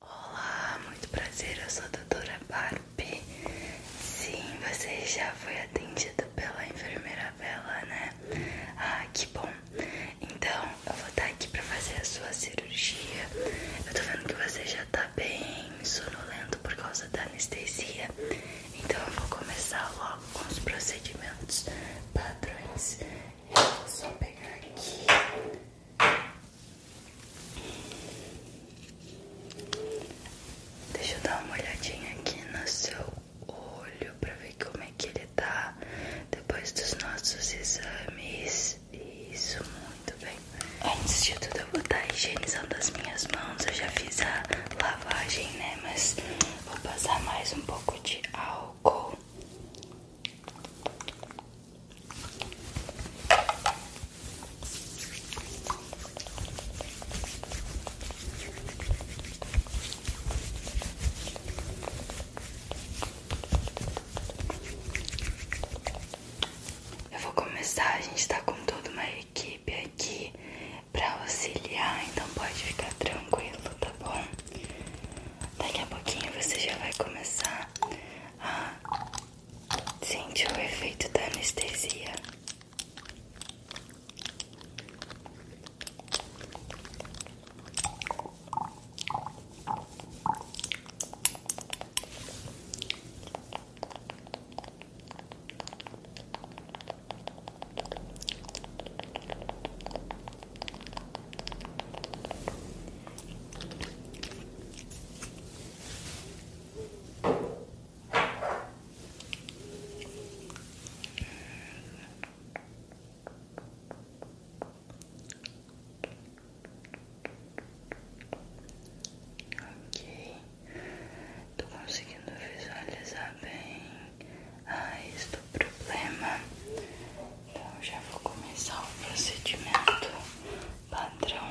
Olá, muito prazer, eu sou a doutora Barbie. Sim, você já foi atendida pela enfermeira Bela, né? Ah, que bom. Então, eu vou estar aqui para fazer a sua cirurgia. Eu tô vendo que você já tá bem sonolento por causa da anestesia. Então, eu vou começar logo com os procedimentos padrões. Eu vou só pegar aqui Deixa eu dar uma olhadinha aqui no seu olho pra ver como é que ele tá depois dos nossos exames. Isso, muito bem. Antes de tudo, eu vou estar higienizando as minhas mãos. Eu já fiz a lavagem, né? Mas vou passar mais um pouco de álcool. Eu vou começar, a gente tá com toda uma equipe aqui pra auxiliar, então pode ficar tranquilo, tá bom? Daqui a pouquinho você já vai começar Sente o efeito da anestesia. Ok, estou conseguindo visualizar bem a ah, este é problema então já vou começar o procedimento padrão.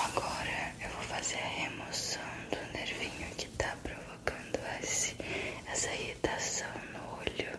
Agora eu vou fazer a remoção do nervinho que tá pra quando esse, essa irritação no olho.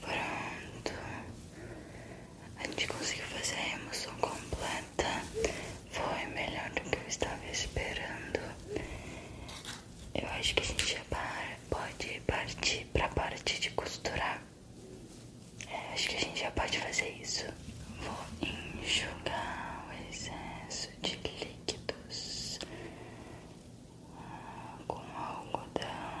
Pronto. A gente conseguiu fazer a emoção completa. Foi melhor do que eu estava esperando. Eu acho que a gente já pode partir para a parte de costurar. É, acho que a gente já pode fazer isso. Vou enxugar o excesso de líquidos ah, com algodão.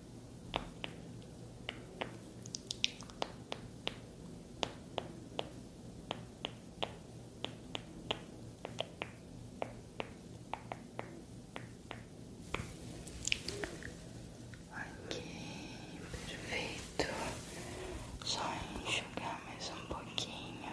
Ok, perfeito. Só enxugar mais um pouquinho.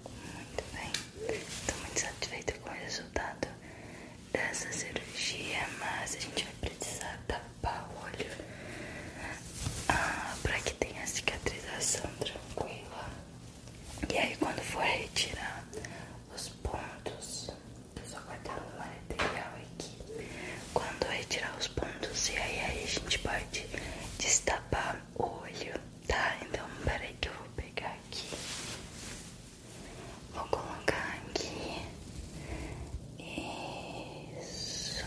Muito bem, estou muito satisfeita com o resultado dessa cirurgia, mas a gente vai precisar tapar o olho ah, para que tenha cicatrização tranquila. E aí quando for retirar os pontos, eu só guardando o material aqui. Quando retirar os pontos, e aí a gente pode destapar o olho. Tá, então peraí que eu vou pegar aqui. Vou colocar aqui. Isso.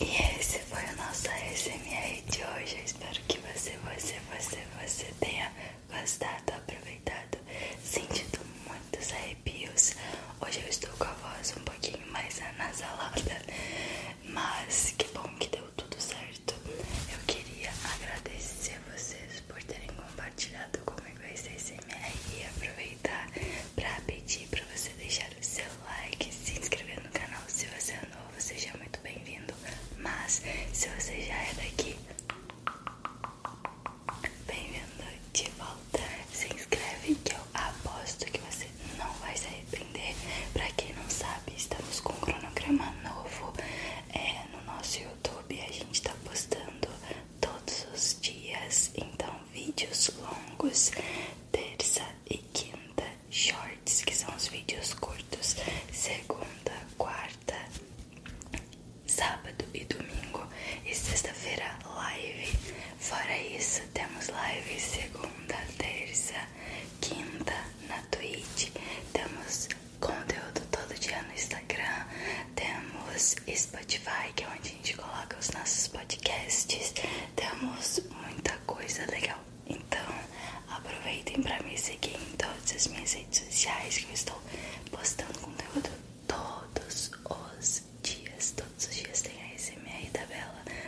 E esse foi o nosso ASMR de hoje. espero que você, você, você, você tenha gostado, aproveitado, sentido muitos arrepios. Hoje eu estou com a voz um pouquinho mais anasalada. Mas que bom que deu tudo certo. Eu queria agradecer a vocês por terem compartilhado comigo esse ASMR e aproveitar para pedir para você deixar o seu like, se inscrever no canal. Se você é novo, seja muito bem-vindo. Mas se você já é daqui, bem-vindo de volta. Se inscreve que eu aposto que você não vai se arrepender. Pra quem não sabe, estamos com um cronograma novo é, no nosso YouTube. A gente tá postando todos os dias, então vídeos longos, terça e quinta, shorts, que são os vídeos curtos, segunda, quarta, sábado e domingo, e sexta-feira live. Fora isso, temos live segunda, terça, quinta, na Twitch, temos conteúdo todo dia no Instagram, temos Spotify, que é onde a gente coloca os nossos podcasts, temos muita coisa legal. Então, aproveitem para me seguir em todas as minhas redes sociais, que eu estou postando conteúdo todos os dias. Todos os dias tem a SMR da Bela,